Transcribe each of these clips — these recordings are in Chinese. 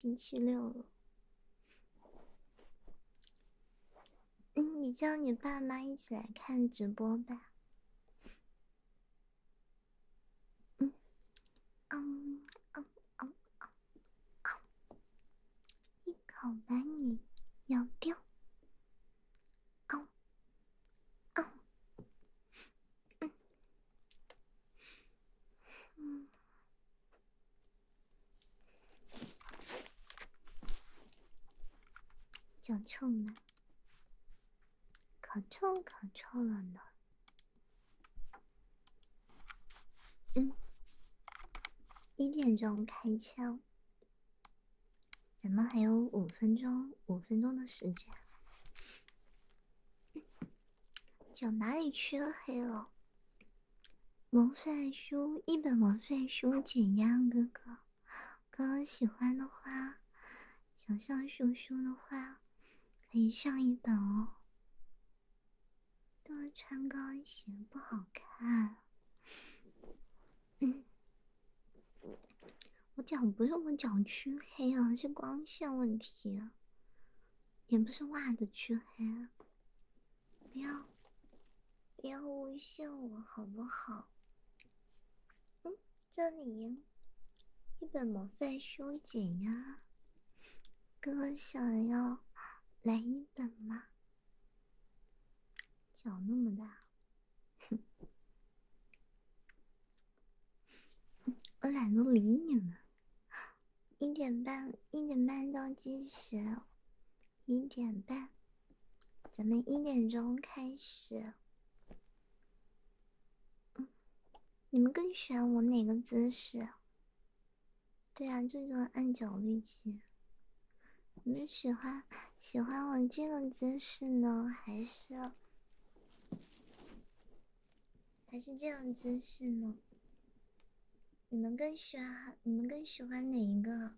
星期六了，嗯，你叫你爸妈一起来看直播吧。嗯，嗯嗯嗯，一口把你咬掉！嗯，嗯。脚臭吗？可臭可臭了呢。嗯，一点钟开枪，咱们还有五分钟，五分钟的时间。脚哪里黢黑了？毛帅书一本，毛帅书减压哥哥，哥哥喜欢的话，想象叔叔的话，可以上一本哦。多穿高跟鞋不好看。嗯，我脚不是我脚黢黑啊，是光线问题，也不是袜子黢黑。不要，不要诬陷我好不好？嗯，这里，一本魔法书减压。哥哥想要来一本吗？脚那么大，哼！我懒得理你们。一点半，一点半到计时，一点半，咱们一点钟开始。嗯，你们更喜欢我哪个姿势？对啊，就是按脚力器。你们喜欢喜欢我这个姿势呢，还是？还是这样姿势呢？你们更喜欢你们更喜欢哪一个？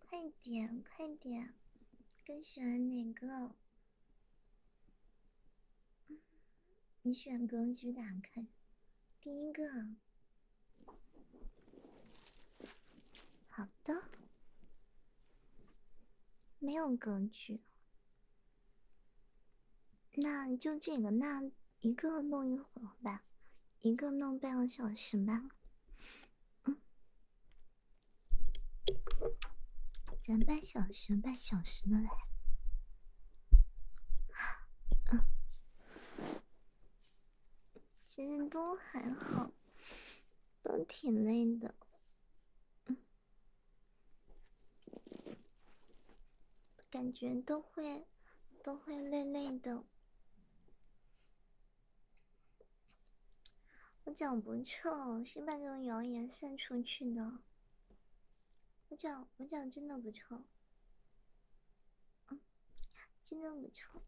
快点快点，更喜欢哪个？你选格局打开，第一个。好的，没有格局。那就这个那一个弄一会儿吧，一个弄半个小时吧，嗯，咱半小时，半小时的来。嗯，其实都还好，都挺累的，嗯。感觉都会，都会累累的。我脚不臭，先把这个谣言散出去的？我脚，我脚真的不臭，嗯，真的不臭。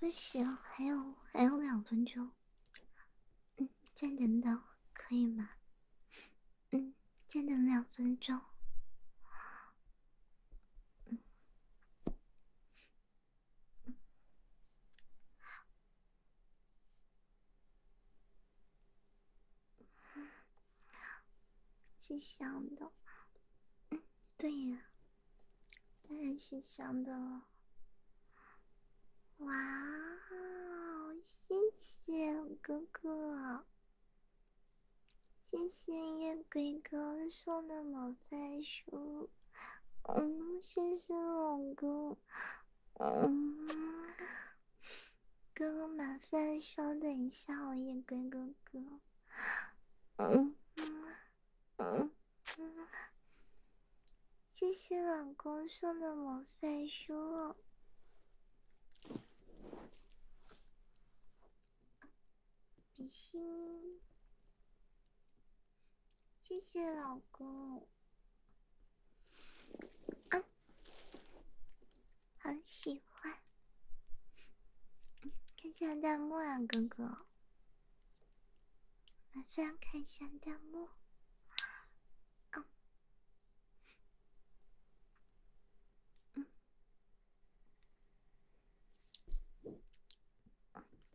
不行，还有还有两分钟，嗯，再等等，可以吗？嗯，再等两分钟。是香的，嗯，对呀，当然是香的了。哇，谢谢哥哥，谢谢夜鬼哥送的魔法书，嗯，谢谢老公。嗯，哥哥，麻烦稍等一下，夜归哥哥。嗯嗯嗯，谢谢老公送的魔法书，比心。谢谢老公。啊。很喜欢，看下弹幕啊，哥哥，麻烦看一下弹幕，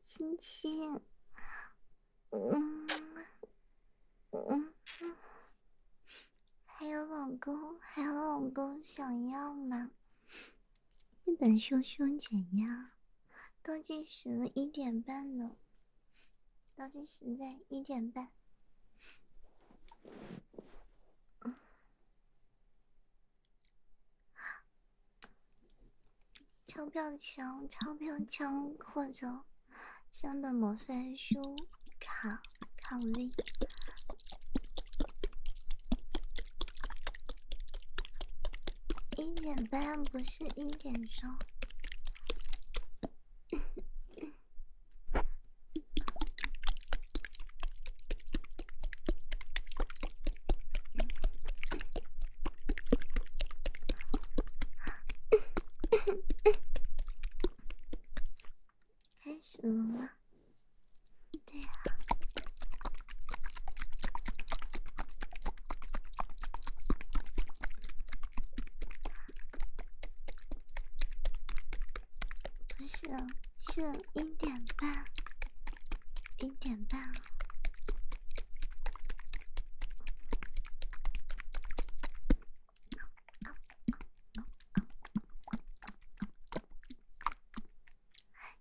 亲亲，嗯。嗯，还有老公，还有老公想要吗？一本凶凶减压，倒计时一点半了，倒计时在一点半，钞票枪，钞票枪，或者。相对模范书，考考位。一点半不是一点钟。开始了吗？对呀，不是，是一点半，一点半。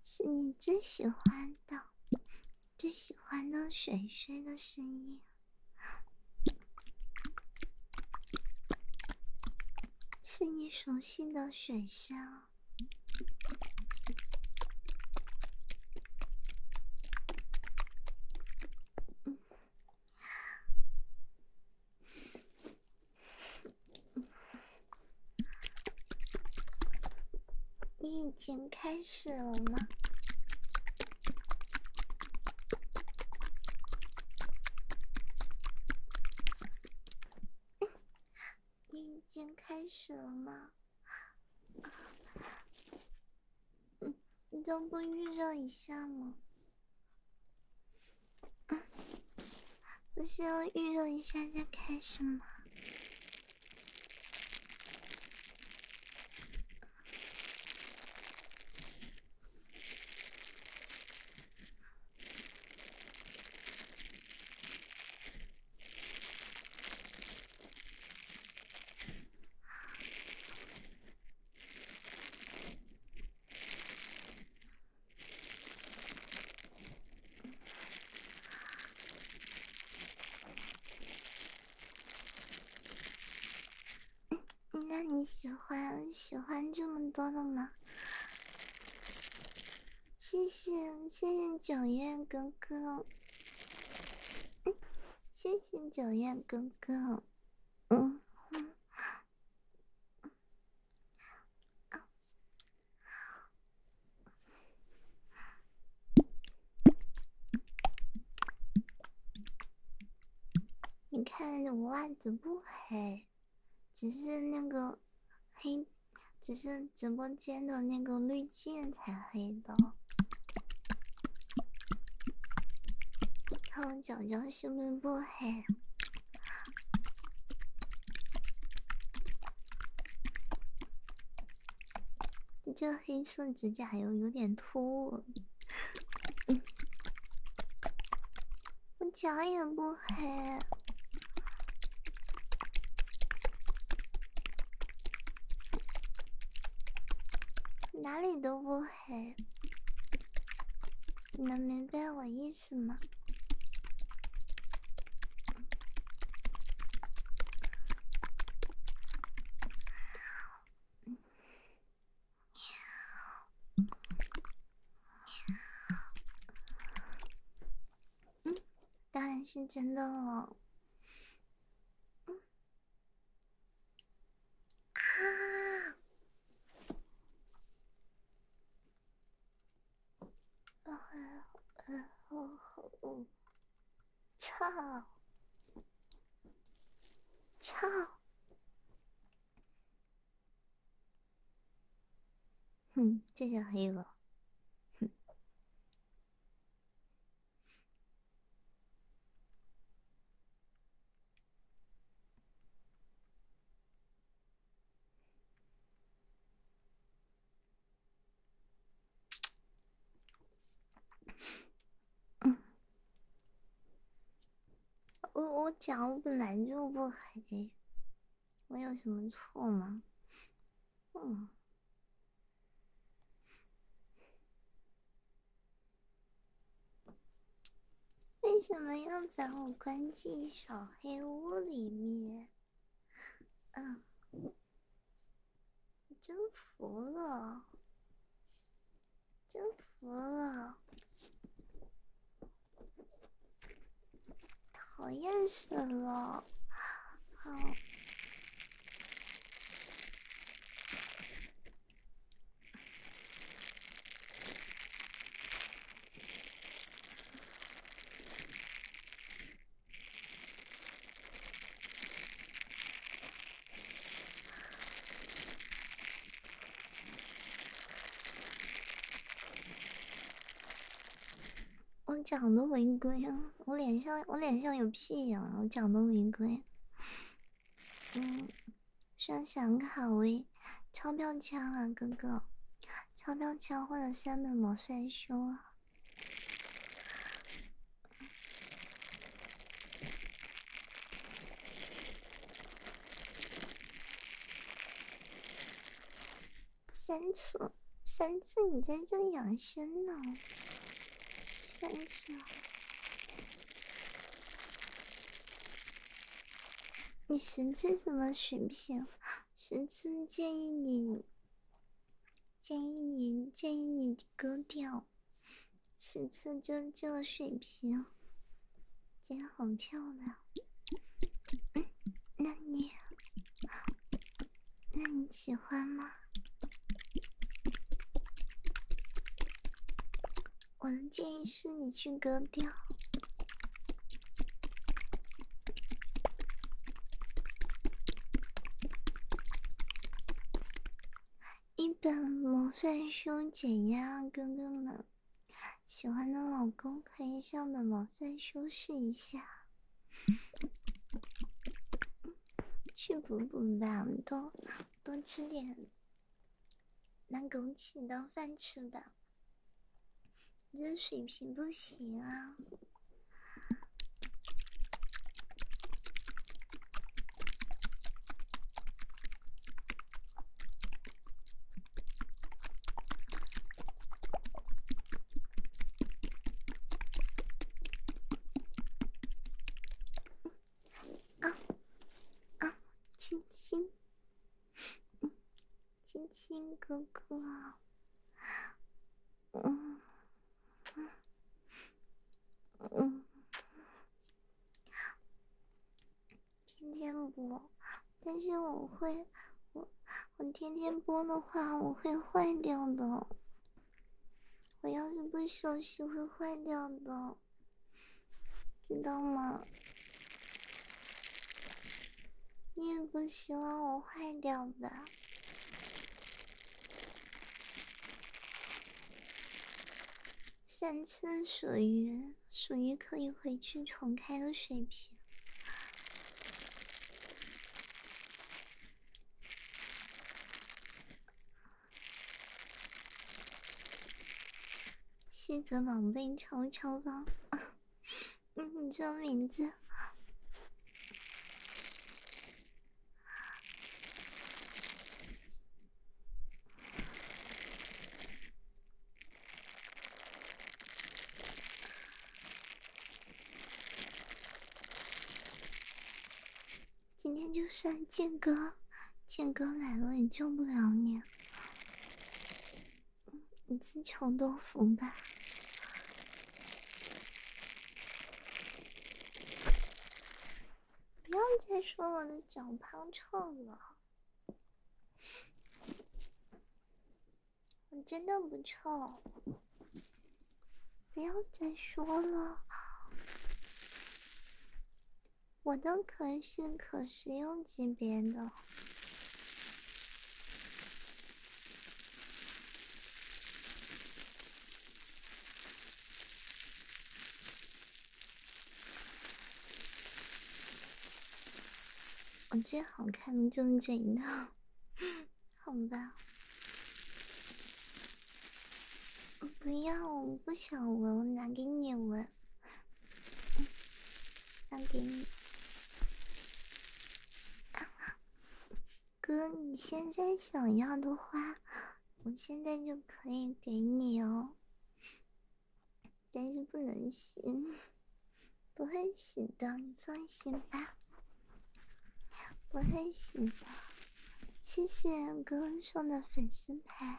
是你最喜欢的、最喜欢的水水的声音，是你熟悉的水声。你已经开始了吗？你已经开始了吗？嗯，你都不预热一下吗？不是要预热一下再开始吗？那你喜欢喜欢这么多的吗？谢谢谢谢九月哥哥，谢谢九月哥哥，嗯。你看我袜子不黑，只是那个黑，只是直播间的那个滤镜才黑的。看我脚脚是不是不你这黑色指甲油有点突。我脚也不黑，哪里都不。嘿，你能明白我意思吗？嗯，当然是真的了。嗯。啊！哦吼！哦吼！操！操！哼，这下黑了。哼。嗯，我我讲，我本来就不黑，我有什么错吗？嗯。为什么要把我关进小黑屋里面？嗯，真服了，真服了，讨厌死了！好。我长的违规啊！我脸上我脸上有屁啊！我长得违规，嗯。想想卡位，钞票枪啊，哥哥，钞票枪或者三本魔帅书啊，三次三次，你在这养生呢？三次。你神赐什么水平？神赐建议你，建议你，建议你割掉。神赐就这个水平，今天很漂亮。那你，那你喜欢吗？我的建议是你去割掉一本魔幻书，减压，哥哥们喜欢的老公可以上本魔幻书试一下，去补补吧，多多吃点。拿枸杞当饭吃吧，你这水平不行啊！啊啊，清新。亲亲哥哥，嗯嗯嗯，天天播，但是我会，我我天天播的话，我会坏掉的。我要是不休息，会坏掉的。知道吗？你也不希望我坏掉吧？三千属于属于可以回去重开的水平。西子宝贝，悄悄吧。嗯，你这个名字。今天就算剑哥，剑哥来了也救不了你。你自求多福吧！不要再说我的脚胖臭了，我真的不臭，不要再说了，我的可是可食用级别的。我最好看的就是这一套，好吧？不要，我不想闻，我拿给你闻。那给你，哥，你现在想要的话，我现在就可以给你哦。但是不能洗，不会洗的，你放心吧，不会洗的。谢谢哥送的粉丝牌。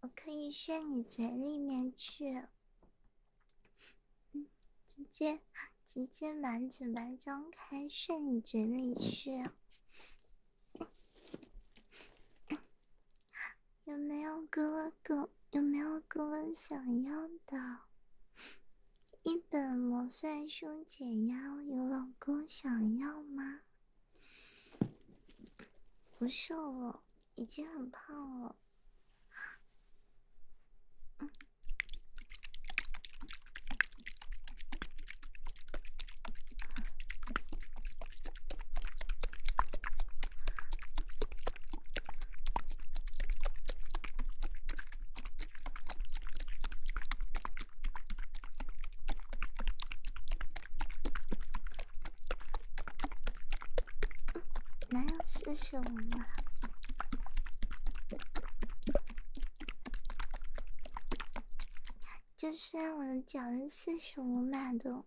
我可以炫你嘴里面去，直接直接把嘴巴张开炫你嘴里去。有没有哥哥？有没有哥哥想要的？一本魔幻书解压，有老公想要吗？不瘦了，已经很胖了。哪有四十五码？就算我的脚是四十五码的，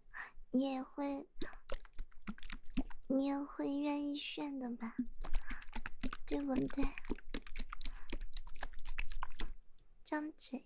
你也会，你也会愿意炫的吧？对不对？张嘴。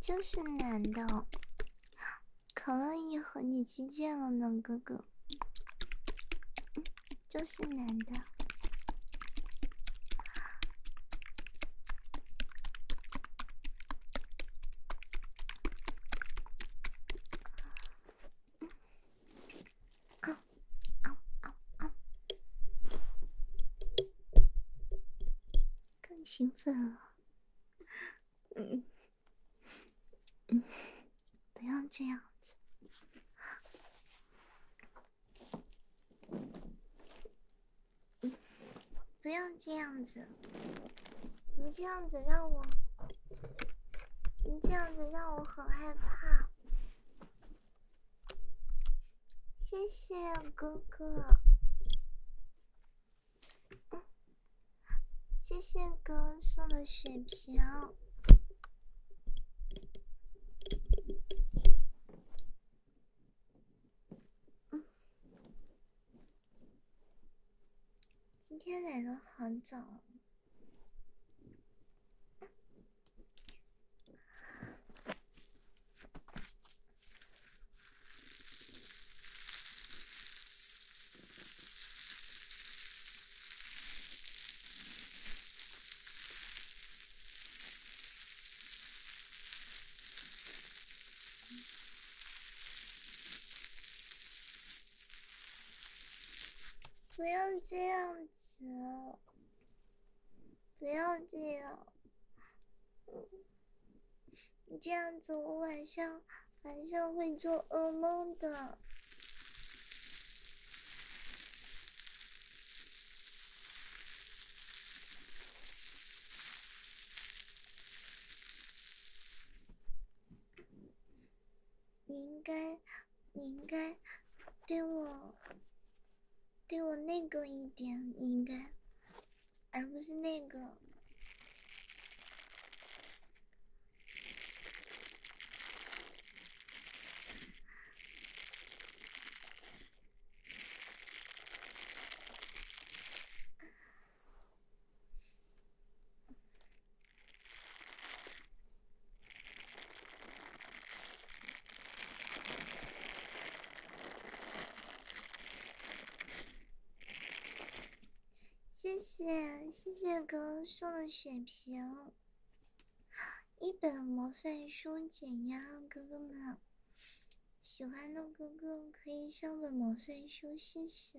就是男的，可以和你击剑了呢，哥哥。就是男的。更兴奋了，嗯，不要这样子，不要这样子。你这样子让我，你这样子让我很害怕。谢谢哥哥，谢谢哥送的血瓶。今天来的很早。不要这样子，不要这样，你这样子，我晚上晚上会做噩梦的。你应该，你应该对我，对我那个一点，你应该，而不是那个。谢谢谢谢哥送的血瓶，一本模范书解压，哥哥们喜欢的哥哥可以上本模范书谢谢。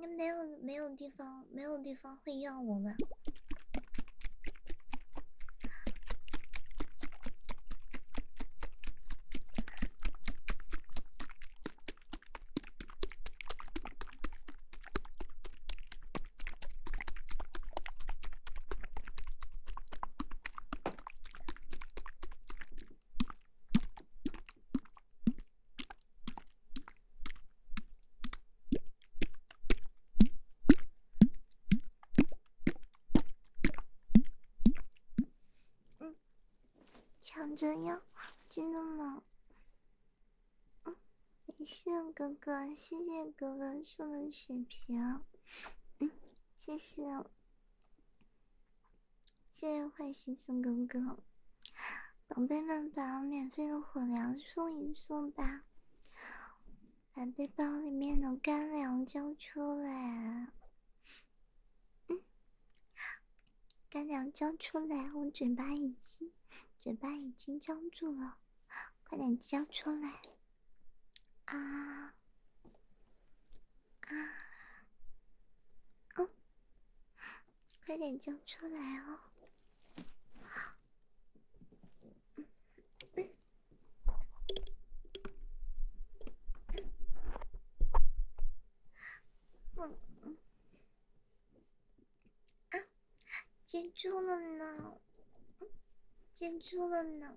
该没有没有地方没有地方会要我们。抢着要，真的吗？嗯，谢谢哥哥，谢谢哥哥送的血瓶，嗯，谢谢，谢谢坏心送哥哥。宝贝们，把免费的火粮送一送吧，把背包里面的干粮交出来。嗯，干粮交出来，我嘴巴已经，嘴巴已经僵住了，快点交出来！啊啊！哦。快点交出来哦！嗯嗯啊，接住了呢，接住了呢。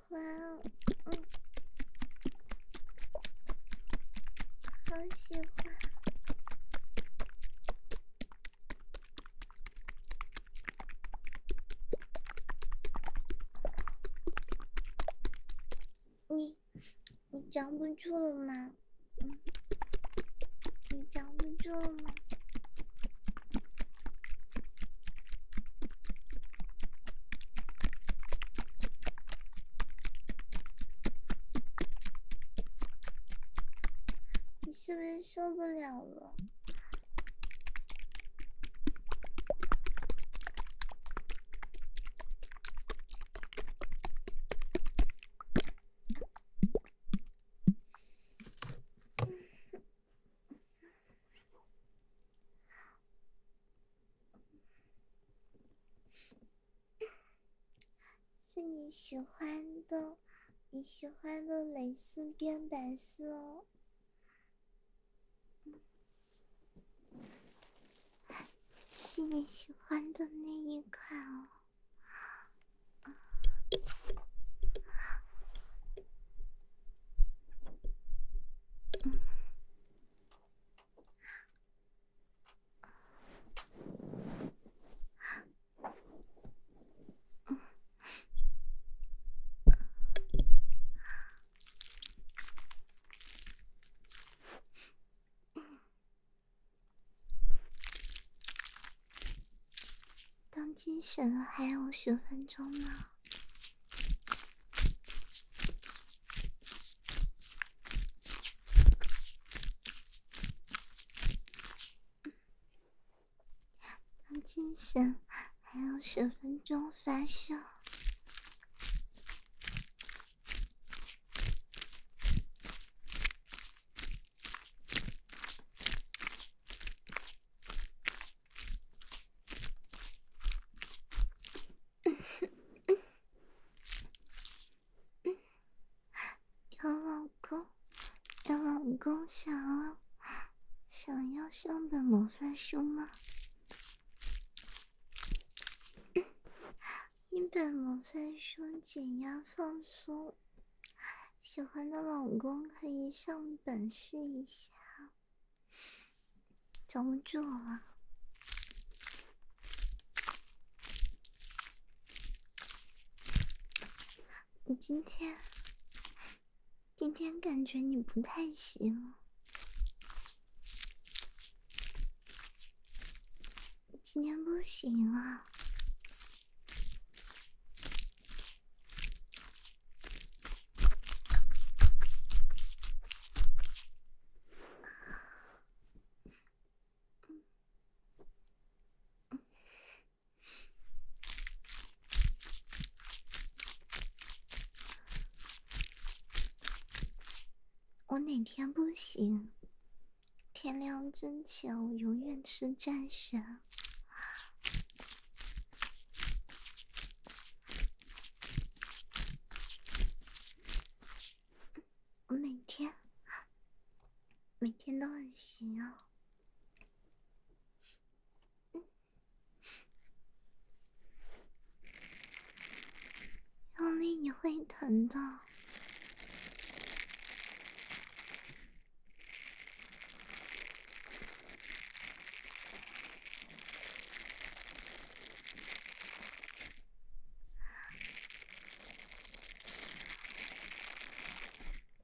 欢，嗯，好喜欢。你，你藏不住了吗？嗯，你藏不住了吗？你是不是受不了了？是你喜欢的，你喜欢的蕾丝边白色哦，是你喜欢的那一款哦。当清神了，还有十分钟呢。当精神还有十分钟发射。有老公，有老公想，要想要上本魔法书吗？一本魔法书减压放松，喜欢的老公可以上本试一下。抓不住了。你今天，今天感觉你不太行。今天不行啊！我哪天不行？天亮之前，我永远是战神。我每天，每天都很行哦。用力你会疼的。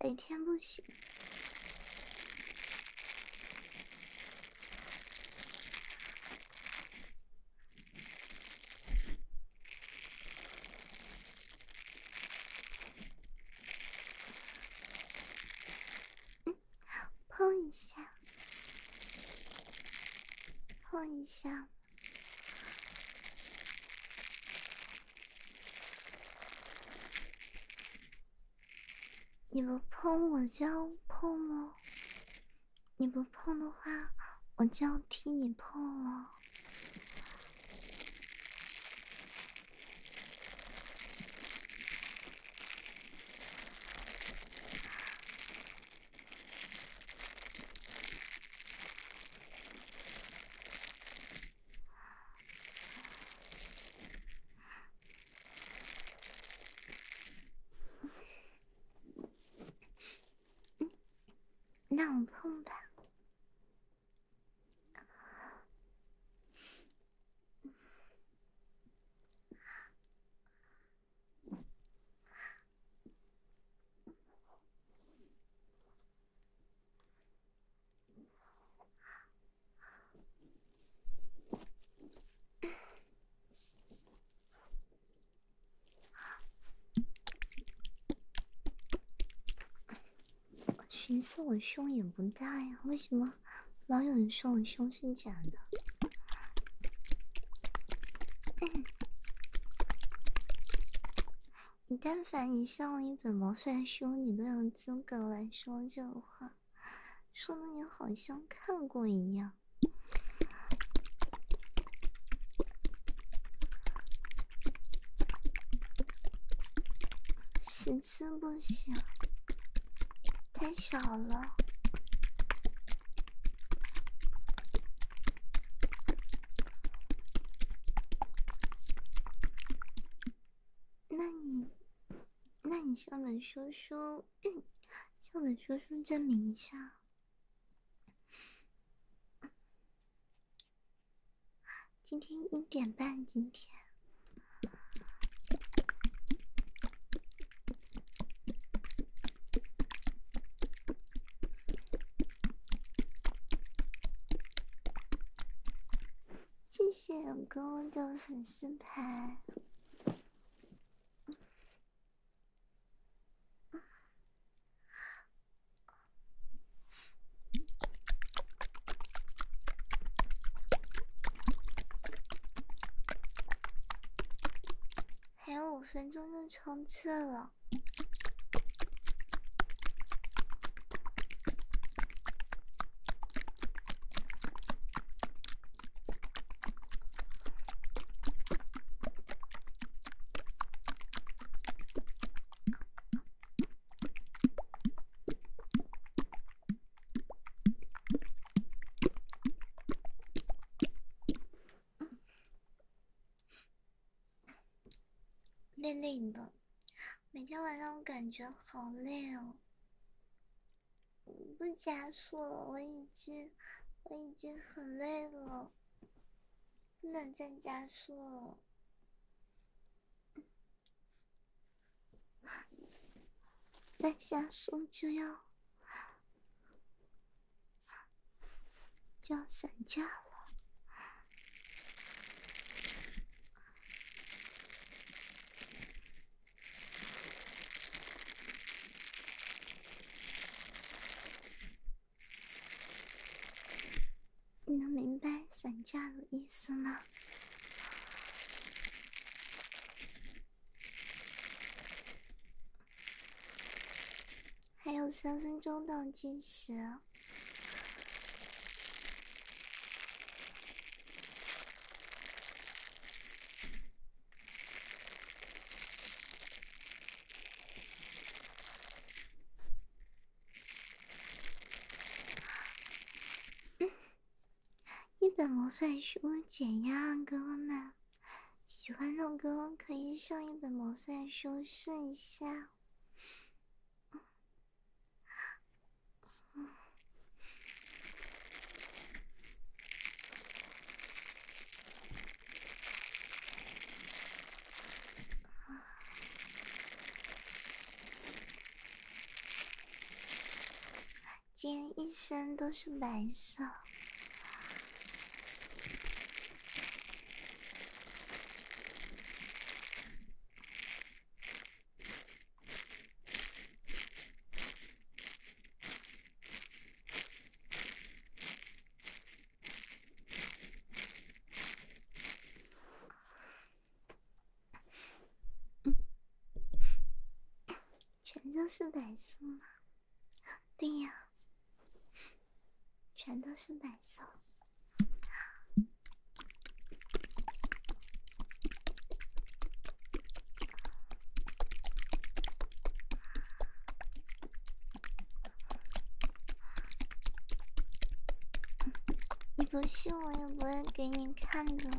每天不行，嗯，碰一下。碰一下，你不碰我就要碰了，你不碰的话我就要替你碰了。那我碰吧。寻思我胸也不大呀，为什么老有人说我胸是假的！你但凡你上了一本模范书，你都有资格来说这话，说的你好像看过一样。十次不行，太少了。那你，那你向本叔叔，向本叔叔证明一下，今天一点半，今天。谢谢我哥哥的粉丝牌。还有五分钟就冲刺了。累累的，每天晚上我感觉好累哦。不加速了，我已经我已经很累了，不能再加速了。再加速就要……就要散架了，你能明白“散架”的意思吗？还有三分钟倒计时，一本魔法书解压，哥哥们。喜欢的种歌，可以上一本魔法书试一下。今天一身都是白色。全都是白色吗？对呀。全都是白色。你不信，我也不会给你看的。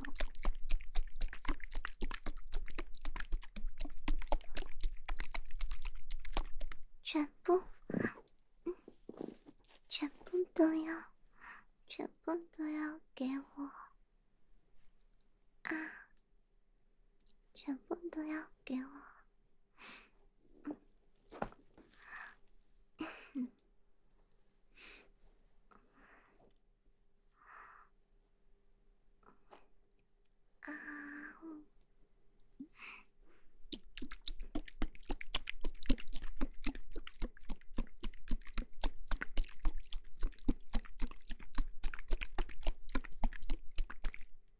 全部，全部都要，全部都要给我啊！全部都要给我。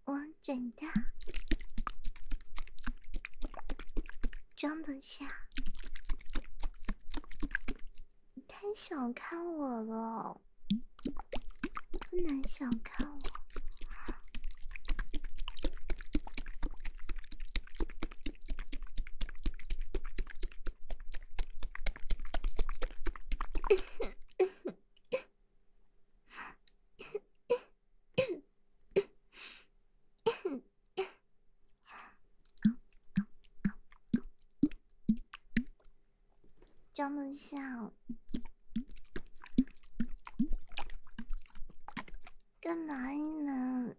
我真的装得下，太小看我了。不能小看我，装得下。干嘛你们？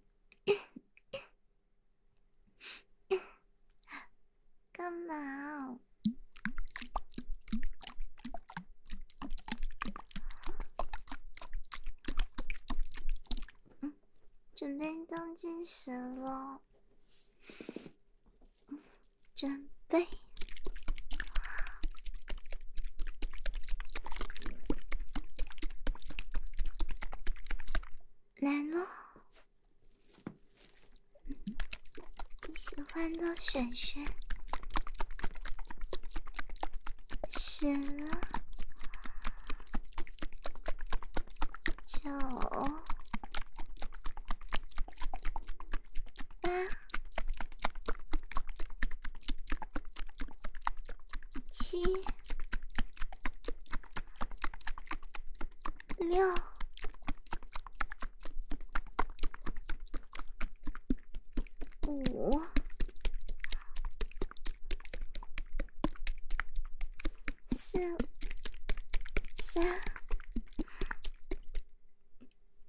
干嘛？准备倒计时了。嗯，准备来喽！你喜欢的选选，选了九八。七、六、五、四、三。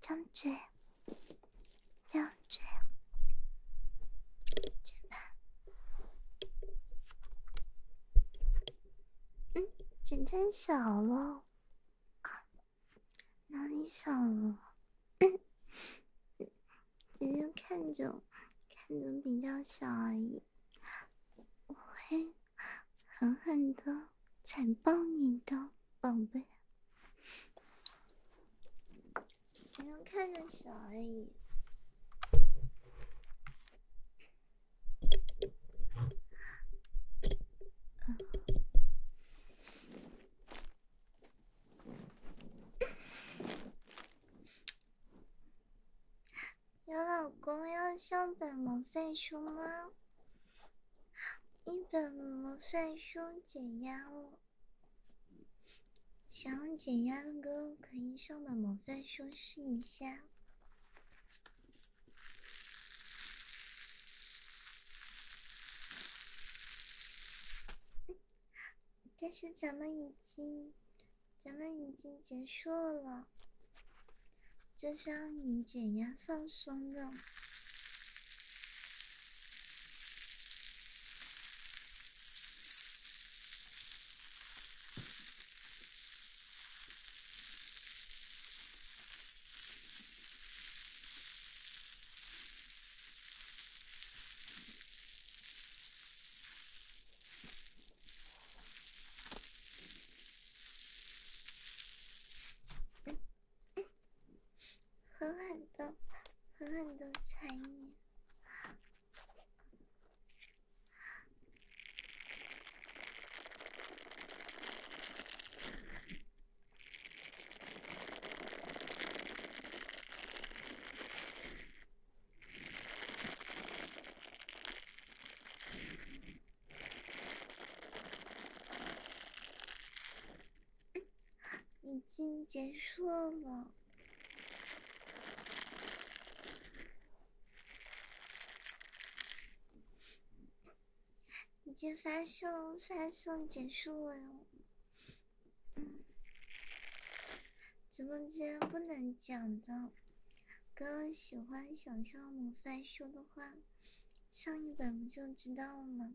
将军，将军，值班。嗯，今天小了。哪里小了？只 是看着看着比较小而已，我会狠狠的惨暴你的，宝贝。只是看着小而已。有老公要上本模范书吗？一本模范书解压哦，想要压的哥可以上本模范书试一下。但是咱们已经，咱们已经结束了，就是要你减压放松的。狠狠的，狠狠的踩你！已经结束了。已经发送，发送结束了哟。直播间不能讲的，哥喜欢小象母番书的话，上一本不就知道了吗？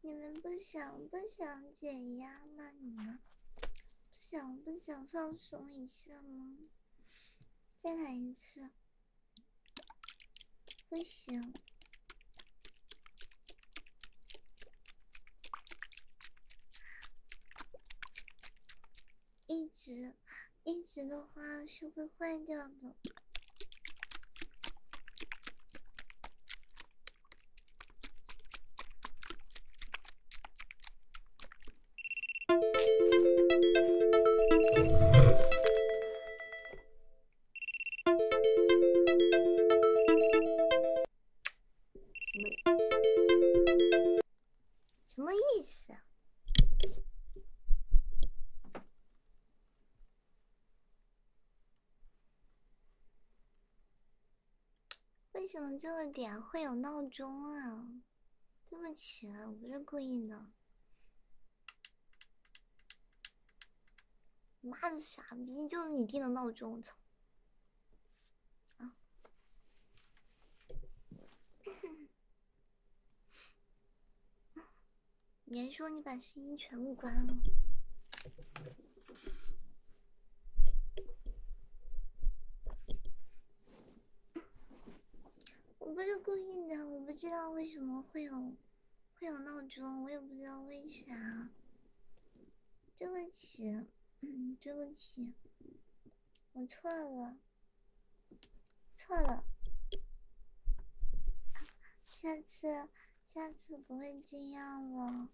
你们不想不想减压吗？你们不想不想放松一下吗？再来一次，不行，一直。一直的话是会坏掉的。什么意思？为什么这个点会有闹钟啊？对不起，我不是故意的。妈的傻逼，就是你定的闹钟，我操！啊。你还说你把声音全部关了？我不是故意的，我不知道为什么会有会有闹钟，我也不知道为啥。对不起，对不起，我错了。错了，下次下次不会这样了。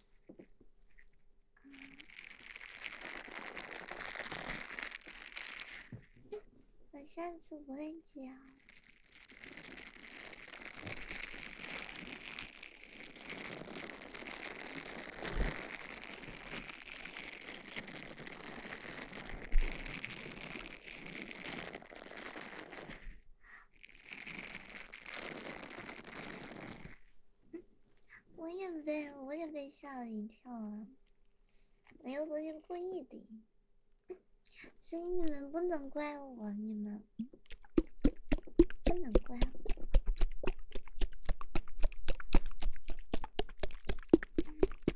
我下次不会这样。我也被，我也被吓了一跳啊！我又不是故意的，所以你们不能怪我，你们不能怪我。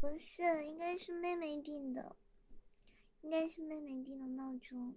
不是，应该是妹妹定的，应该是妹妹定的闹钟。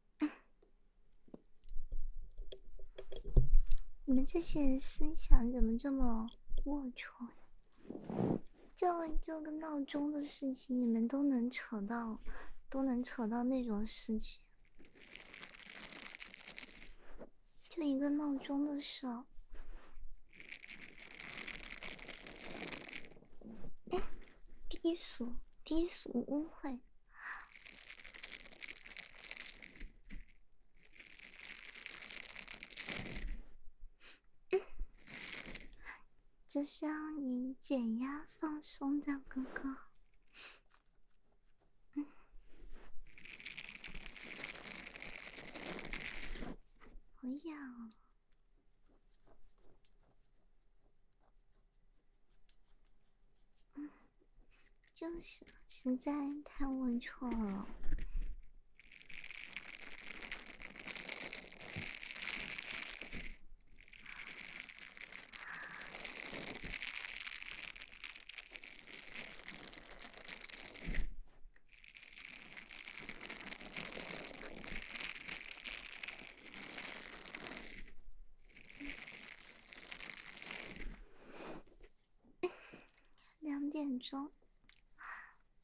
你们这些人思想怎么这么龌龊？就就个闹钟的事情，你们都能扯到，都能扯到那种事情。就一个闹钟的事。哎，低俗，低俗，污秽。这是要你减压放松的哥哥，嗯，不要，嗯。就是实在太龌龊了。两点钟，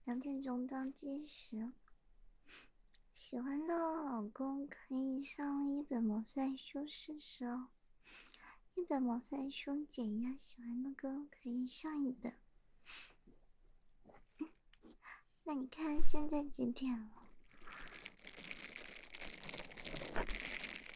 两点钟倒计时。喜欢的老公可以上一本毛线书试试哦，一本毛线书减压。喜欢的歌可以上一本。那你看现在几点了？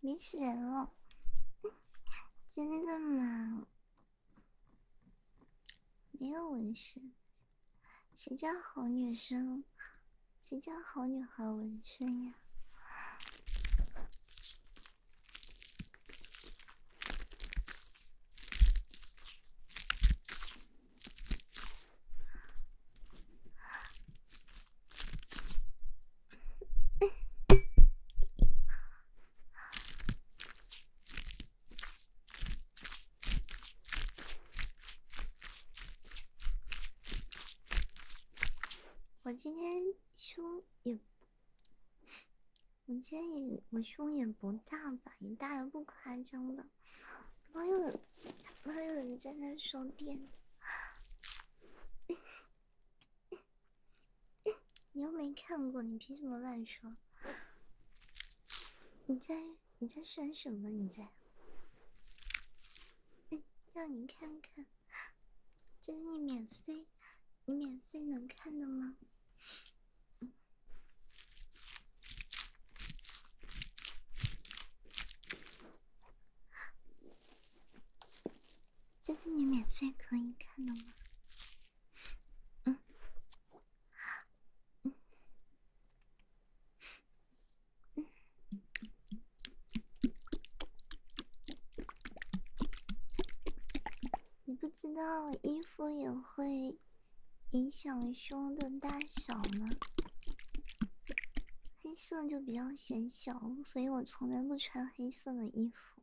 没血了，真的吗？没有纹身，谁家好女生，谁家好女孩纹身呀？我今天胸也，我今天也，我胸也不大吧，也大的不夸张吧。怎么有人，怎有人在那说电？你又没看过，你凭什么乱说？你在？你在选什么？你在，让你看看，这是你免费，你免费能看的吗？这是你免费可以看的吗？嗯。你不知道衣服也会影响胸的大小吗？黑色就比较显小，所以我从来不穿黑色的衣服。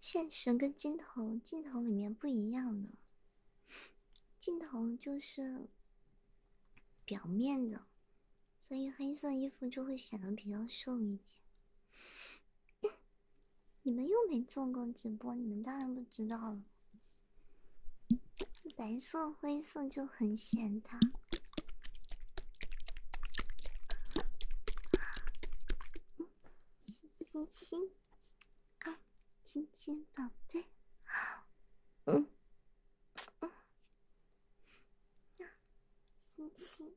现实跟镜头镜头里面不一样的，镜头就是表面的，所以黑色衣服就会显得比较瘦一点。你们又没做过直播，你们当然不知道了。白色、灰色就很显大。星星。 아, 진친 밥해? 응. 아, 진친.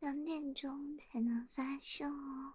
两点钟才能发生哦。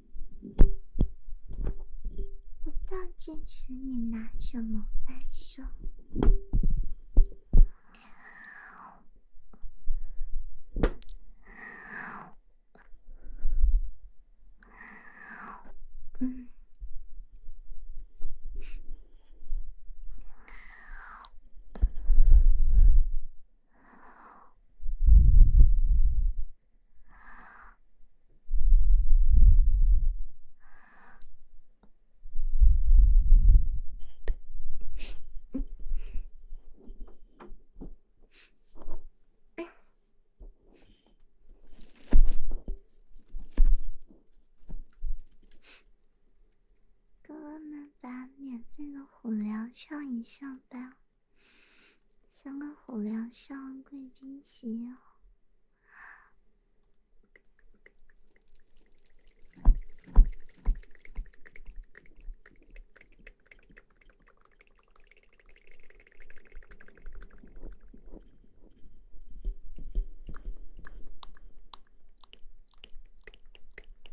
不到真实，你拿什么分手？哥们，把免费的虎粮笑一笑吧。像个虎粮，像个贵宾席。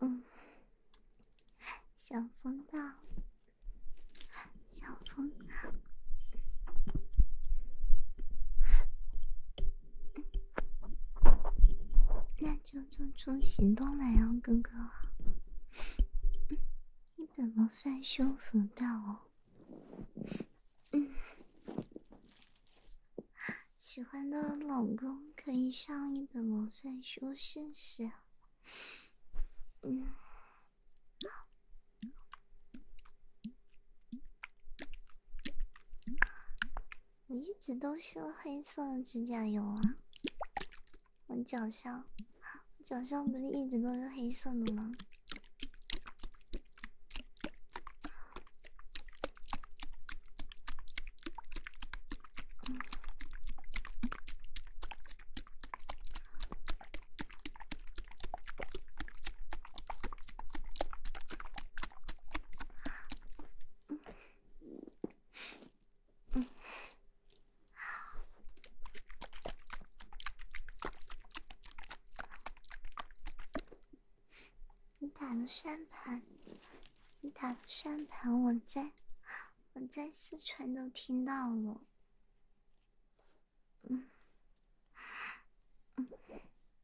嗯，小风道，小风大，那。就做出行动来呀，哥哥！一本魔帅修服到哦，嗯，喜欢的老公可以上一本魔帅修试试，嗯。我一直都是黑色的指甲油啊！我脚上，脚上不是一直都是黑色的吗？嗯。你打个算盘，你打个算盘，我在，我在四川都听到了。嗯。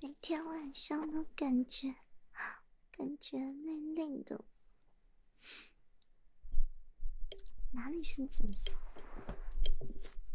每天晚上都感觉，感觉累累的，哪里是紫色？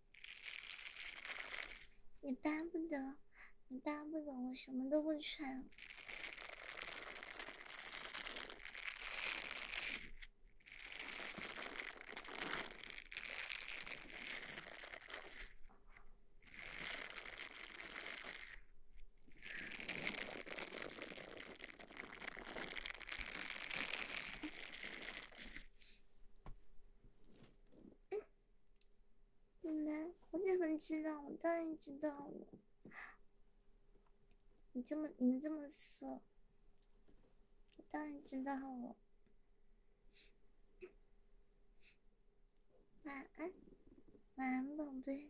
你巴不得，你巴不得，我什么都不穿。你们，我怎么知道？我当然知道了。你这么，你们这么色，我当然知道了。晚安，晚安，宝贝。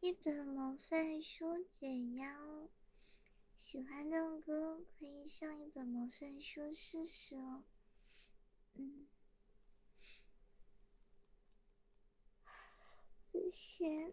一本毛线书解压，喜欢的歌可以上一本毛线书试试。嗯，不嫌。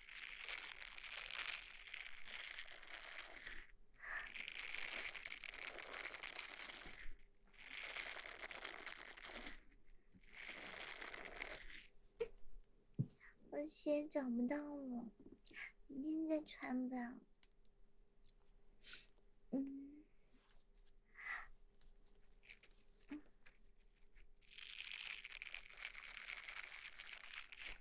我鞋找不到了，明天再穿吧。嗯。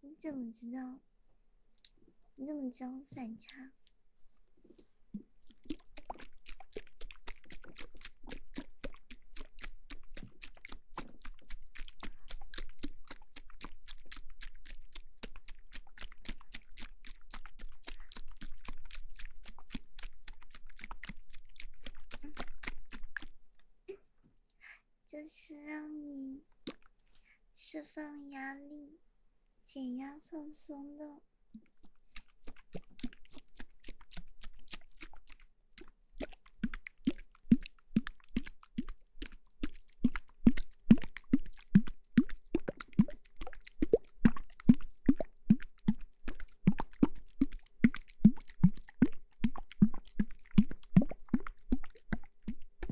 你怎么知道？你怎么知道反差？就是让你释放压力、减压、放松的。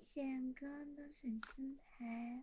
谢谢哥的粉丝牌。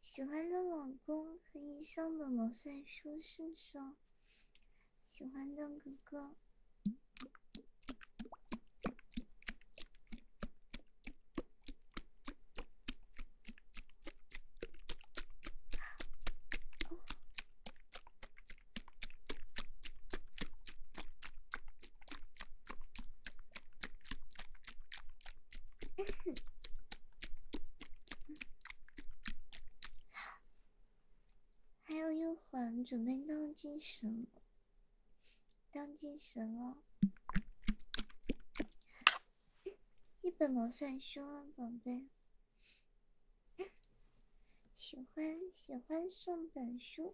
喜欢的老公可以上本罗帅说试试，喜欢的哥哥。还有一会，准备当精神，当精神了。一本魔算书啊，宝贝，喜欢喜欢送本书。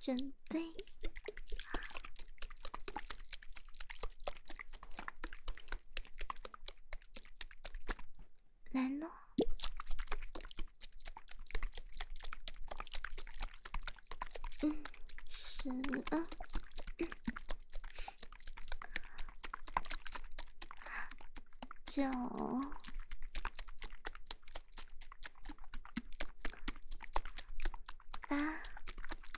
准备，来喽！嗯，十、嗯，九、八。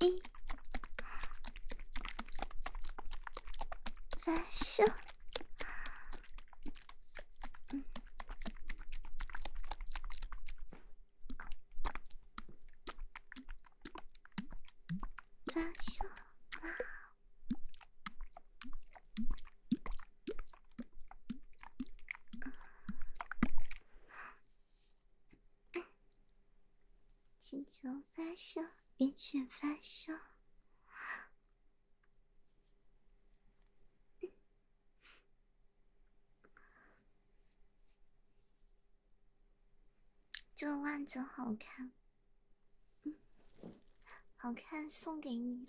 い最初最初请求发生，允许发生。这个袜子好看，好看，送给你。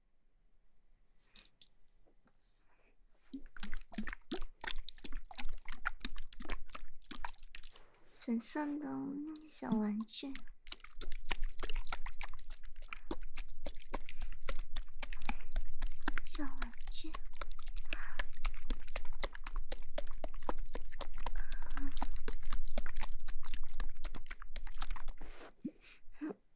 粉色的小玩具，小玩具。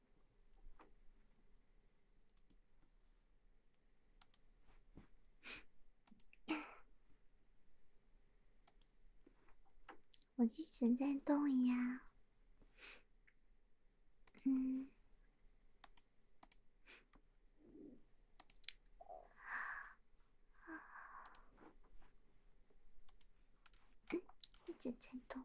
我一直在动呀，嗯，一直在动。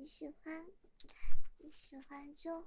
你喜欢，你喜欢就好。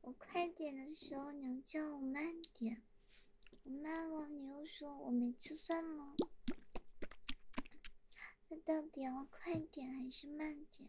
我快点的时候，你叫我慢点；我慢了，你又说我没吃饭吗？那到底要快点还是慢点？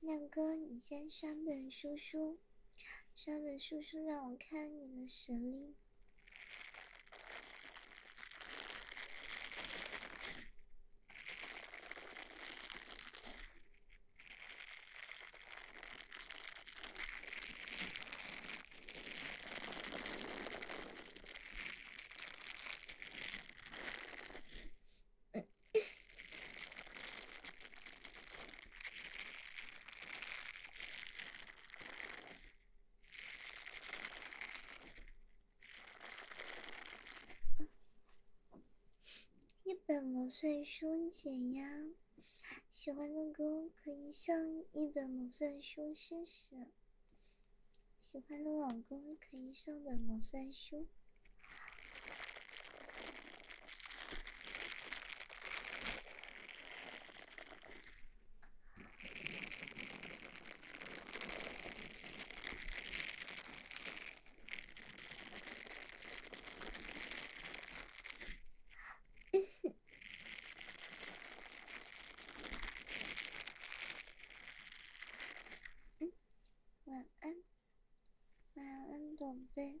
亮哥，你先刷本书书，刷本书书让我看你的实力。一本魔幻书解压，喜欢的歌可以上一本魔幻书试试。喜欢的老公可以上本魔算书。嗯，晚安，晚安，宝贝。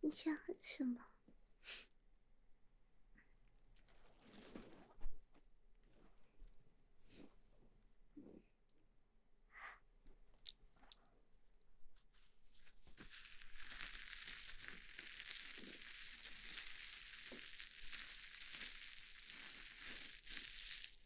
你想喝什么？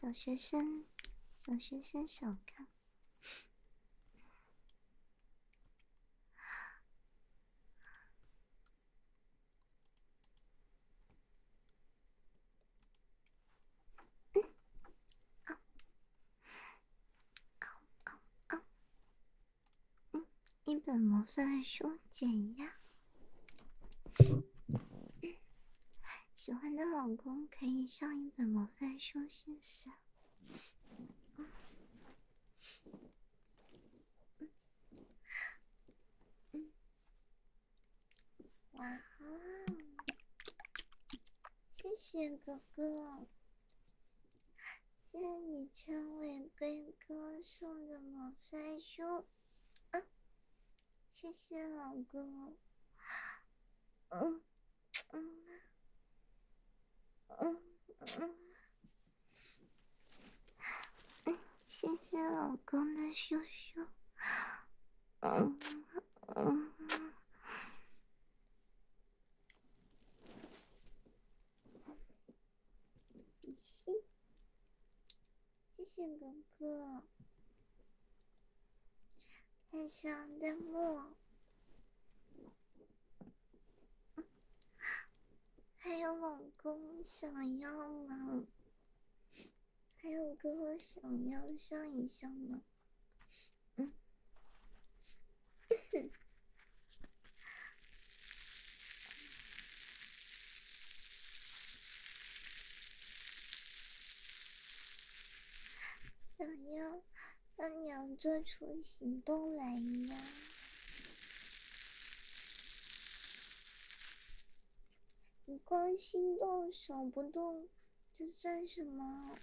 小学生，小学生小看。嗯，哦，嗯，一本魔幻书减压。喜欢的老公可以上一本魔幻书试试。哇哦！谢谢哥哥，谢谢你成为龟哥送的魔法书，啊，谢谢老公，嗯。嗯嗯嗯，谢谢老公的羞羞，嗯嗯，比心，谢谢哥哥。还想弹幕，还有老公想要吗？还有哥哥想要上一上吗？嗯，想要。那你要做出行动来呀！你光心动手不动，这算什么？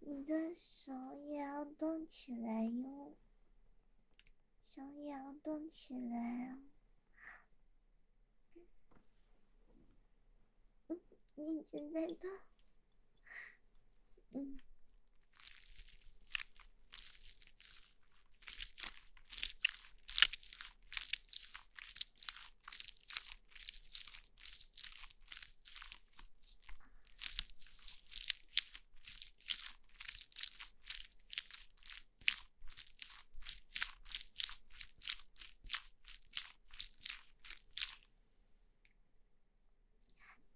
你的手也要动起来哟，手也要动起来啊！嗯，你已经在动，嗯。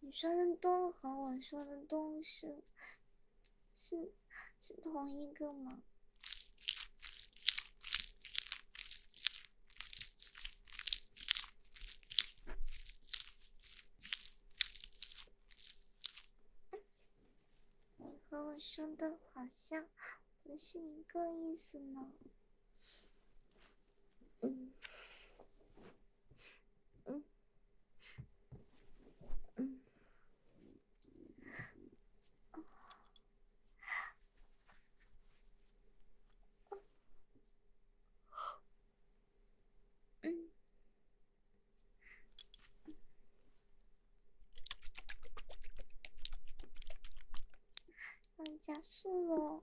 你说的都和我说的都是，是是同一个吗？你和我说的好像不是一个意思呢。嗯，嗯，嗯，哦。嗯，加速了。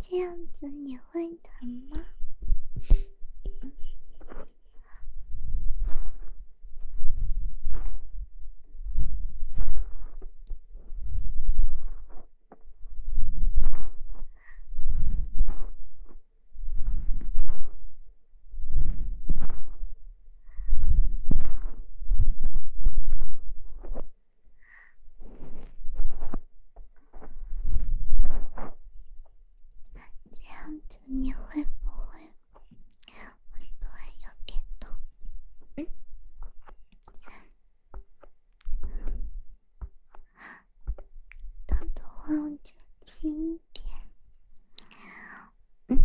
这样子你会疼吗？这样子你会不会会不会有点痛？嗯，痛的话我就轻一点。嗯。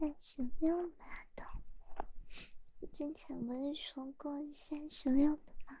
三十六码的，之前不是说过三十六的吗？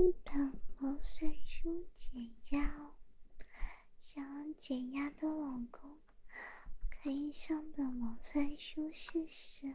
一本毛碎书减压，想要减压的老公可以上本毛碎书试试。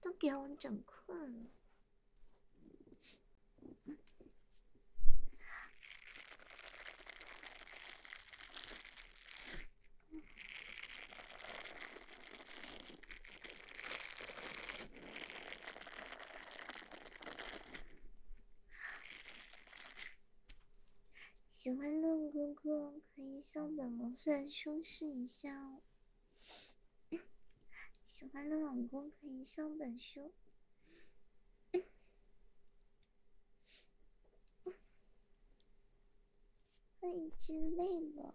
都给我整困了。喜欢的哥哥可以向本魔帅修饰一下。哦。喜欢的老公可以上本书，我已经累了。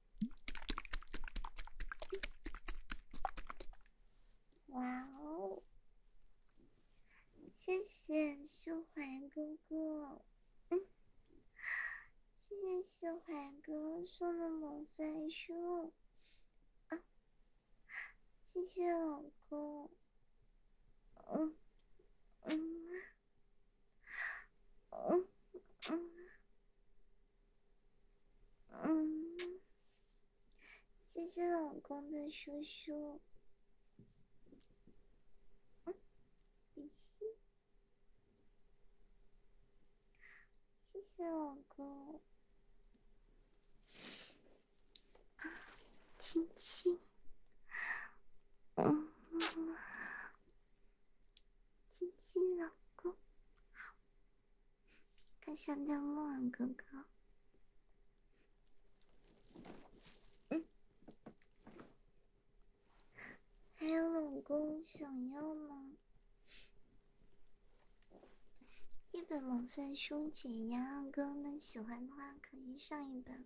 哇哦！谢谢秀怀哥哥，谢谢秀怀哥送的魔法书，啊，谢谢老公，嗯嗯。谢谢老公的叔叔。谢谢老公。啊，亲亲。嗯。亲亲老公，好，别想掉墨啊哥哥。嗯，还有老公想要吗？一本毛粉兄解压，哥们喜欢的话可以上一本。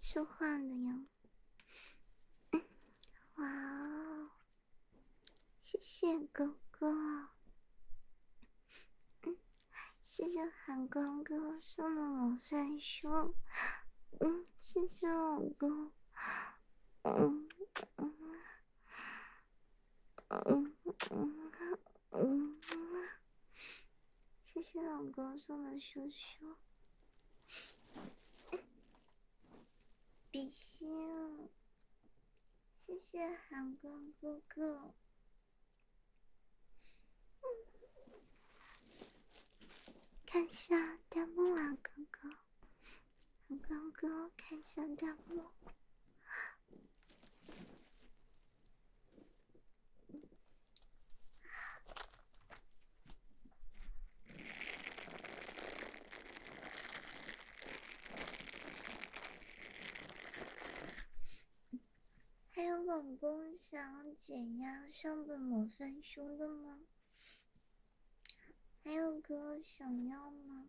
说话的呀，哇哦，谢谢哥哥，谢谢韩光哥送的我线胸，嗯，谢谢老公，嗯嗯。嗯嗯嗯，谢谢老公送的羞羞，比心。谢谢韩光哥哥，看下弹幕啊，哥哥，韩光哥，看下弹幕。还有老公想要减压上本魔翻书的吗？还有哥想要吗？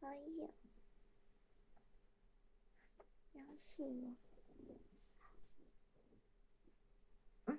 哎呀！痒死了。嗯。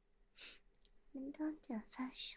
门当顶发烧。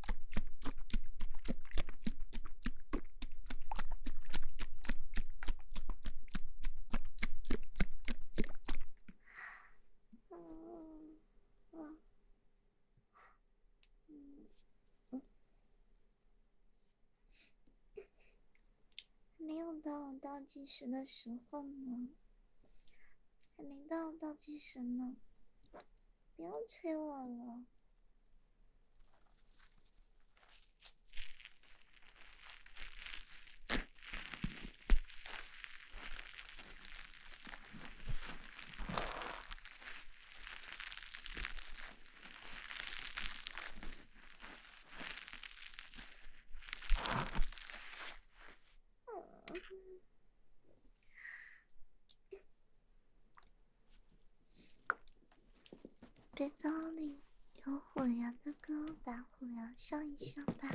嗯，嗯，还没有到倒计时的时候呢，还没到倒计时呢。不要催我了。背包里有虎牙的歌，把虎牙笑一笑吧。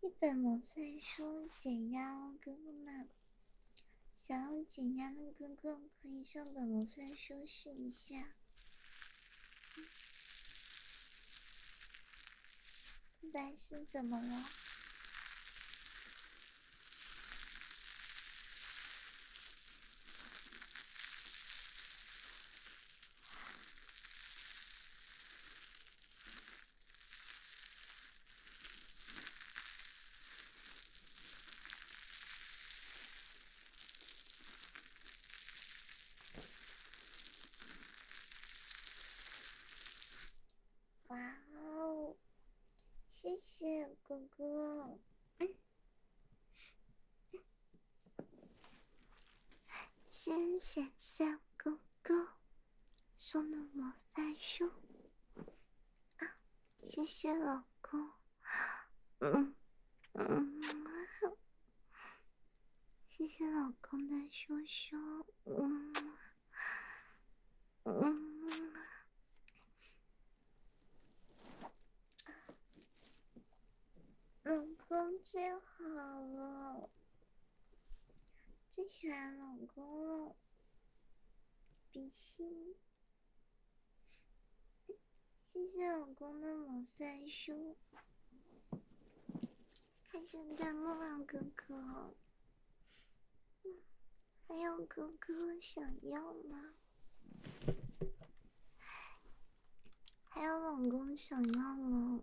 一本魔幻书解压，哥哥们，想要解压的哥哥可以上本魔幻书试一下。白是怎么了？哇哦！谢谢哥哥。先想象公公送的魔法书，啊，谢谢老公，嗯嗯，谢谢老公的熊熊，嗯嗯，老公最好了。最喜欢老公了，比心！谢谢老公的魔法书，还想在木浪哥哥，还有哥哥想要吗？还有老公想要吗？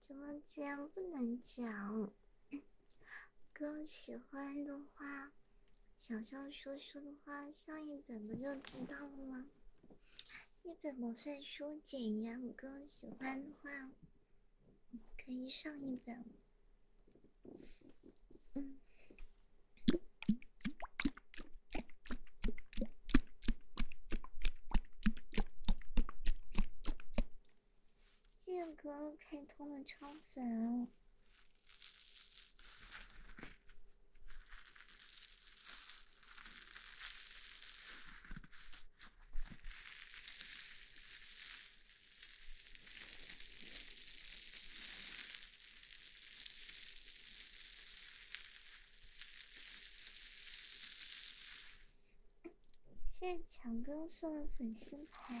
直播间不能讲。哥喜欢的话，想象说书的话，上一本不就知道了吗？一本魔算书简呀，哥喜欢的话，可以上一本。嗯。谢哥开通了超粉。谢谢强哥送的粉丝牌。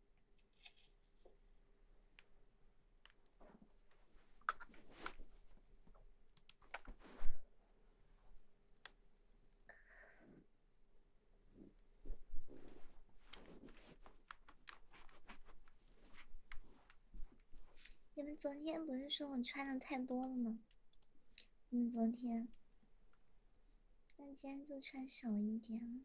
你们昨天不是说我穿的太多了吗？你们昨天，那今天就穿少一点。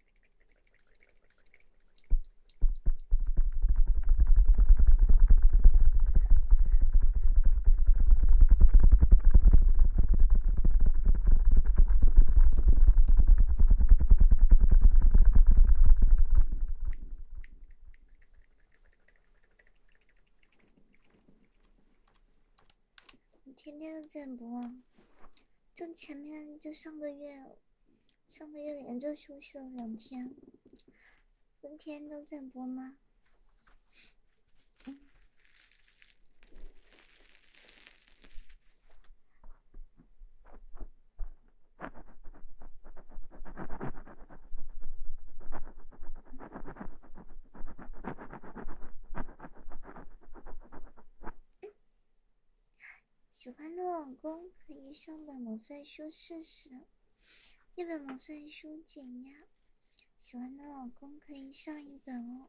你天天在播，就前面就上个月。上个月连着休息了两天，今天都在播吗？喜欢的老公可以上本魔幻书试试，一本魔幻书减压。喜欢的老公可以上一本哦。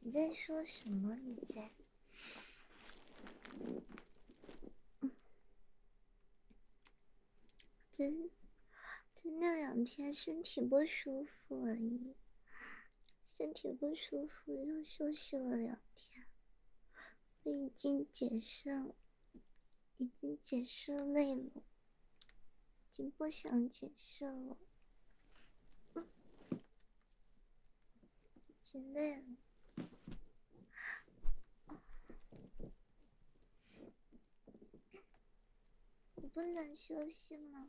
你在说什么？你在？真真那两天身体不舒服而已，身体不舒服就休息了两天。我已经解释，已经解释累了，已经不想解释了，已经累了，我不能休息吗？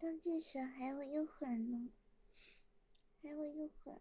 冬至时还有一会儿呢，还有一会儿。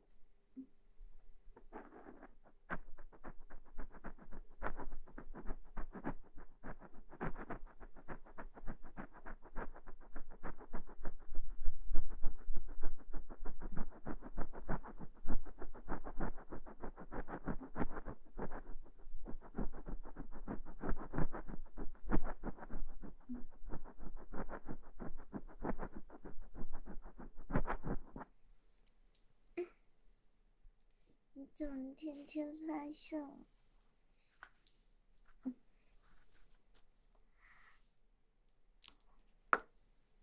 你怎么天天发笑？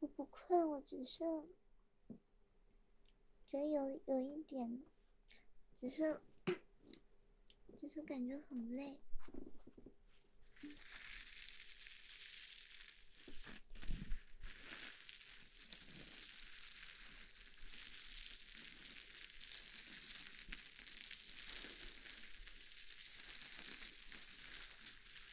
我不困，我只是觉得有有一点，只是，只是感觉很累。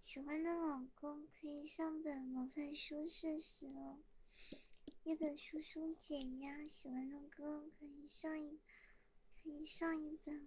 喜欢的老公可以上本模范书试试哦，一本书书解压。喜欢的歌可以上一可以上一本。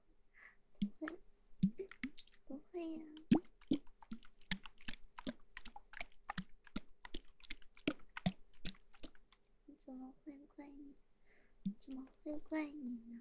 不会，不会呀！我怎么会怪你？怎么会怪你呢？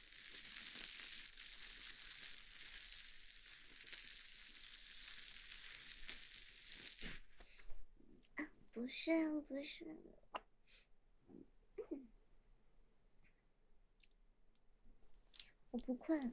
啊，不是不是，我不困。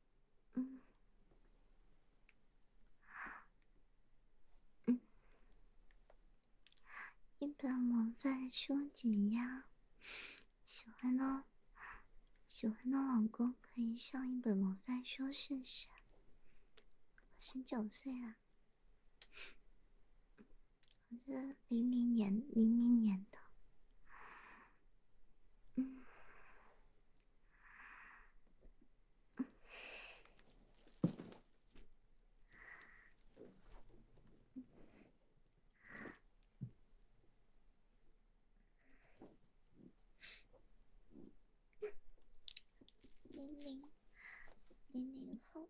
嗯，嗯，一本模范书解压。喜欢的，喜欢的老公可以上一本模范书试试。我十九岁啊，我是零零年零零年的。嗯，零零零零后。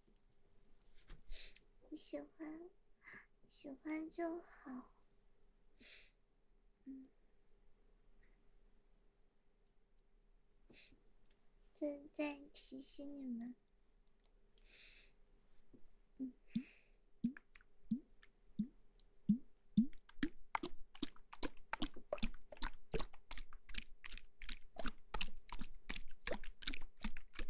你喜欢，喜欢就好。嗯，正在提醒你们。嗯。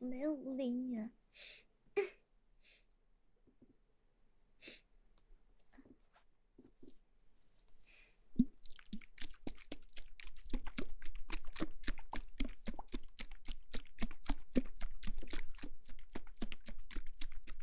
没有不理你。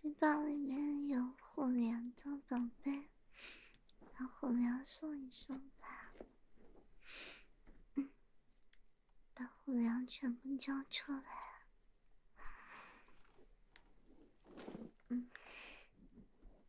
背包里面有虎粮的宝贝，把虎粮送一送吧。嗯，把虎粮全部交出来。嗯。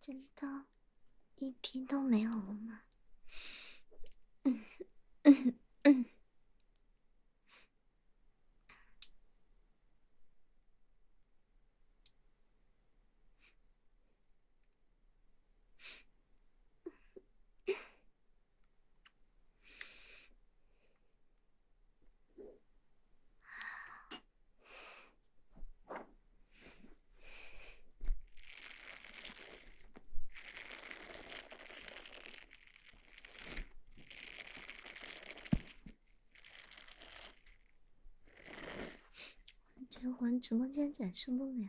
真的，一滴都没有了吗？我觉得我直播间展示不了。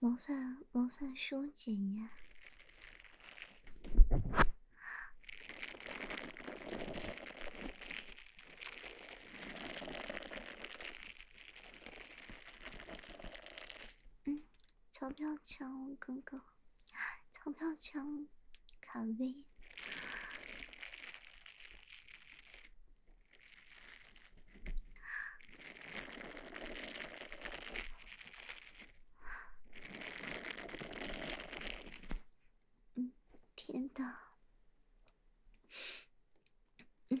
模范模范书检呀！嗯，钞票枪，哥哥，钞票枪，卡威。嗯，天哪！嗯。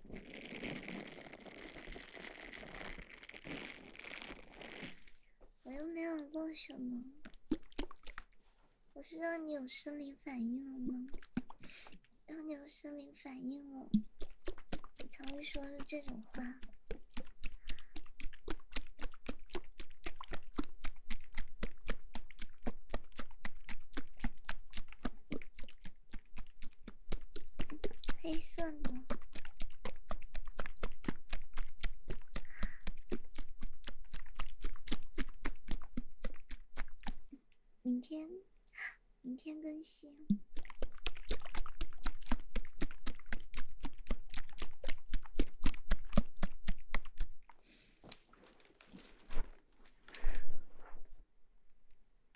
我又没有做什么，我是让你有生理反应了吗？让你有生理反应了，常会说出这种话。黑色的，明天，明天更新。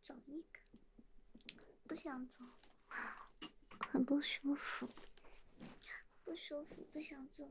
走一个，不想走，很不舒服，不舒服，不想走。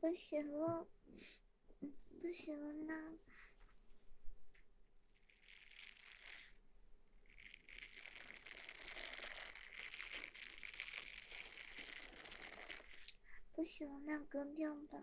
不行了，不行了呢，不行了，那关掉吧。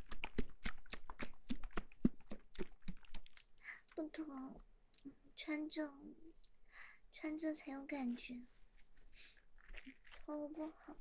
不脱，穿着穿着才有感觉，脱了不好。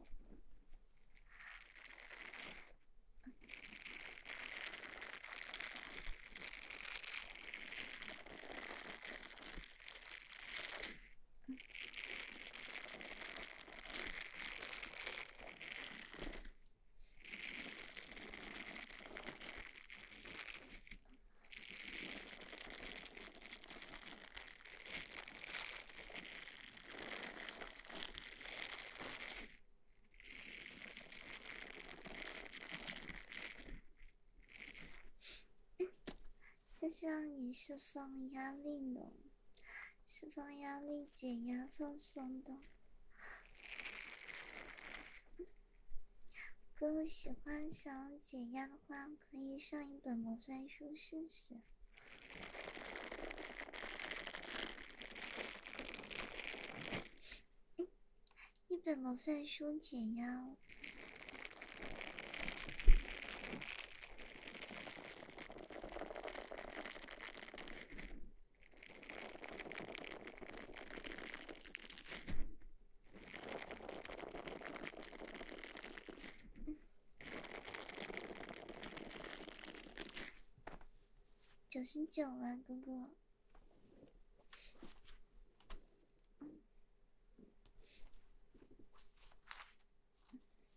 就是让你释放压力的。释放压力、解压、放松的。哥，我喜欢想要压的话，可以上一本魔幻书试试。一本魔幻书解压。九十九啊，哥哥。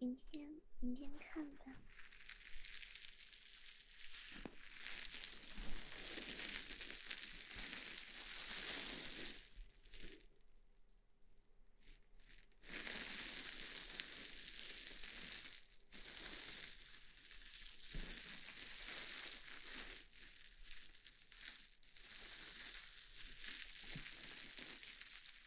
明天，明天看吧。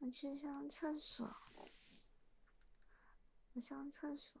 我去上厕所。我上厕所。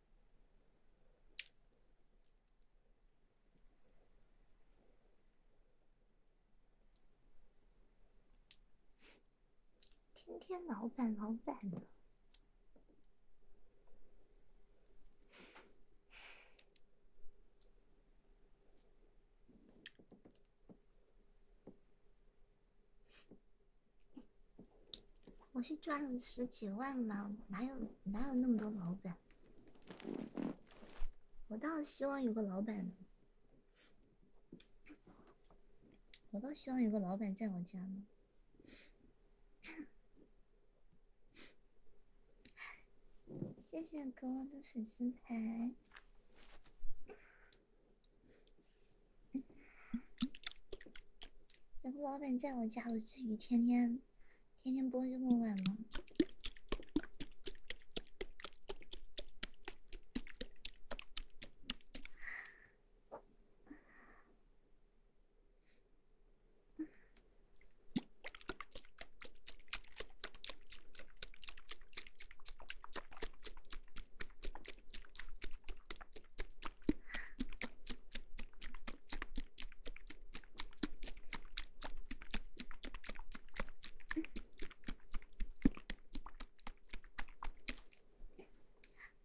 天天，老板，老板呢？我是赚了十几万吗？哪有哪有那么多老板？我倒希望有个老板呢，我倒希望有个老板在我家呢。谢谢哥的粉丝牌。有个老板在我家，我至于天天天天播这么晚吗？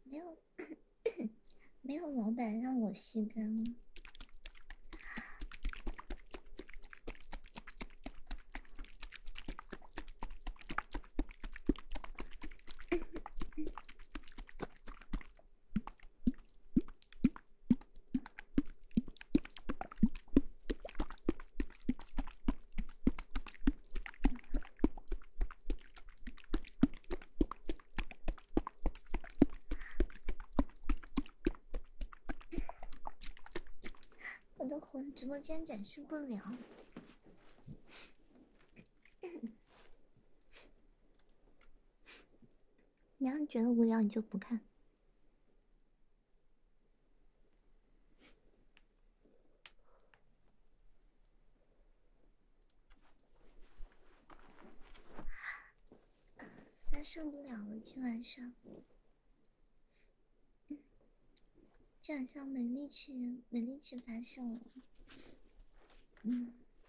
没有，没有老板让我吸干了。我的魂，直播间展示不了。你要是觉得无聊，你就不看。发现不了了，今晚上。今晚上没力气，没力气翻了。嗯。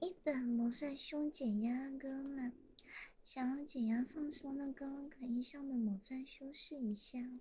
一本魔范胸减压歌嘛，想要减压放松的歌，可以上本《魔范胸试一下。哦。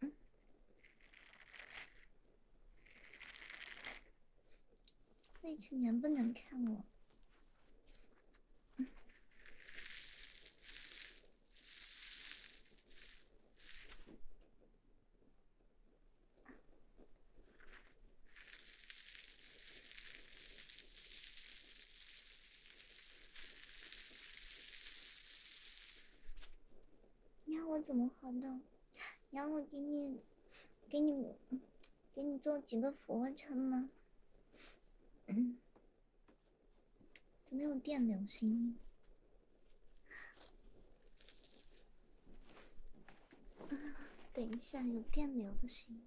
嗯，未成能不能看我。嗯。你要我怎么活动？你要我给你、给你、给你做几个俯卧撑吗？嗯，怎么有电流声音？啊，等一下，有电流的声音。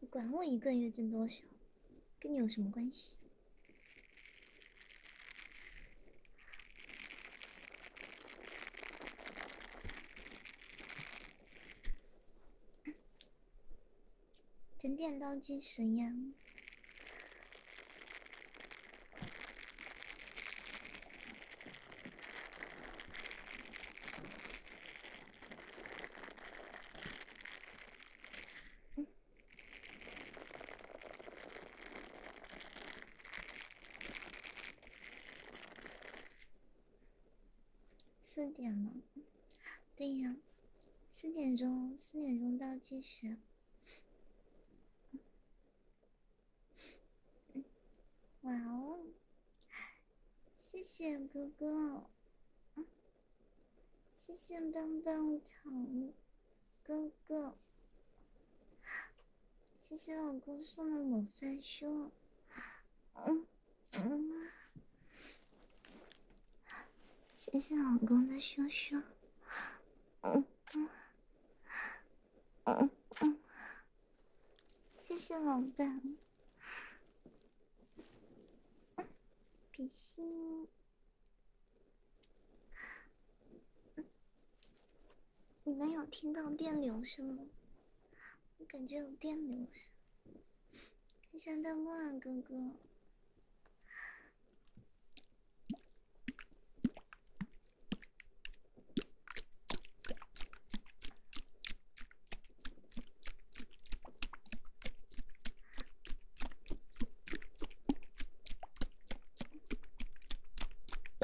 你管我一个月挣多少，跟你有什么关系？整点倒计时呀。四点了，对呀，四点钟，四点钟倒计时。哇哦，谢谢哥哥，谢谢棒棒糖哥哥。谢谢老公送的模范书，嗯嗯，谢谢老公的书书，嗯嗯嗯嗯，谢谢老板，比心。你们有听到电流声吗？我感觉有电流声，看下弹幕啊，哥哥。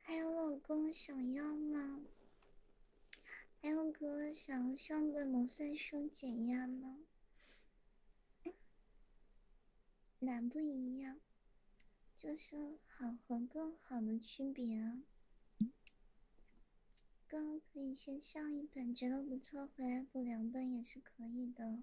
还有老公想要吗？还有哥哥想要上本魔算书减压吗？哪不一样？就是好和更好的区别啊。刚可以先上一本，觉得不错，回来补两本也是可以的。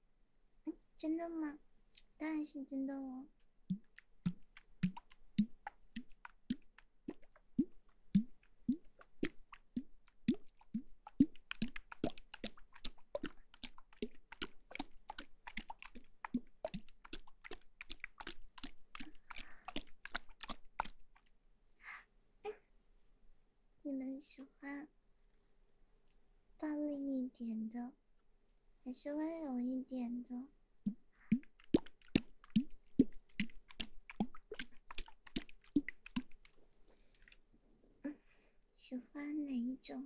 真的吗？当然是真的哦。你们喜欢暴力一点的？还是温柔一点的，喜欢哪一种？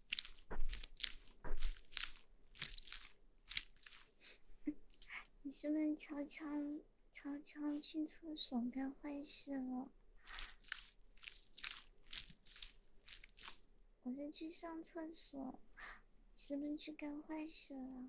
你是不是悄悄悄悄去厕所干坏事了？我是去上厕所，是不是去干坏事了？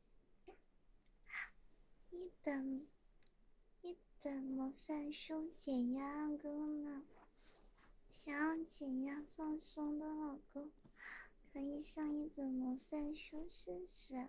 一本一本魔幻书，解压功能。想要解压放松的老公，可以上一本魔幻书试试。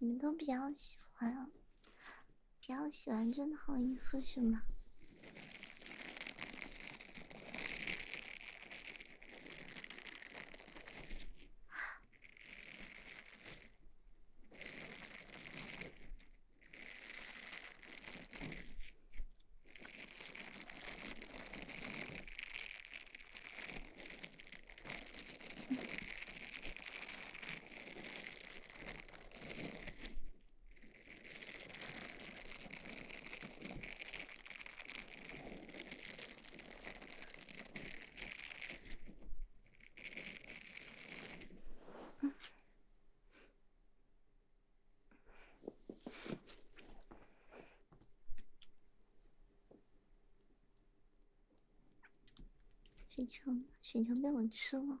你们都比较喜欢啊。比较喜欢这套衣服，是吗？雪球雪球被我吃了。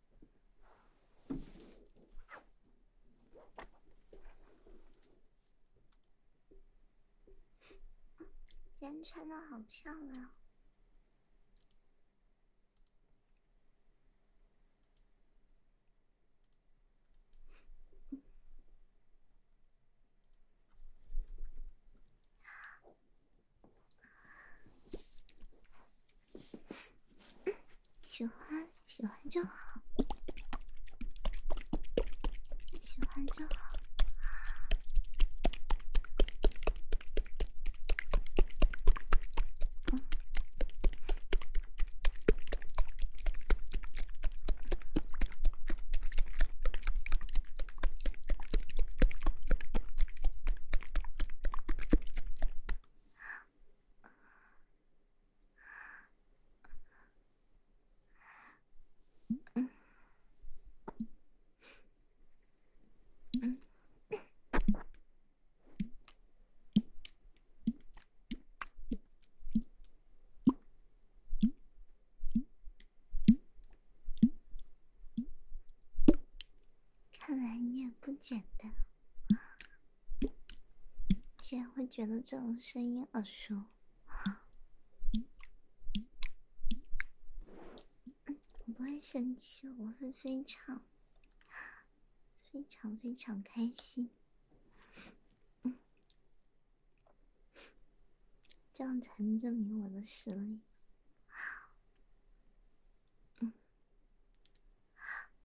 今天穿的好漂亮。喜欢，喜欢就好，喜欢就好。看来你也不简单。竟然会觉得这种声音耳熟，我不会生气，我会非常、非常、非常开心。这样才能证明我的实力。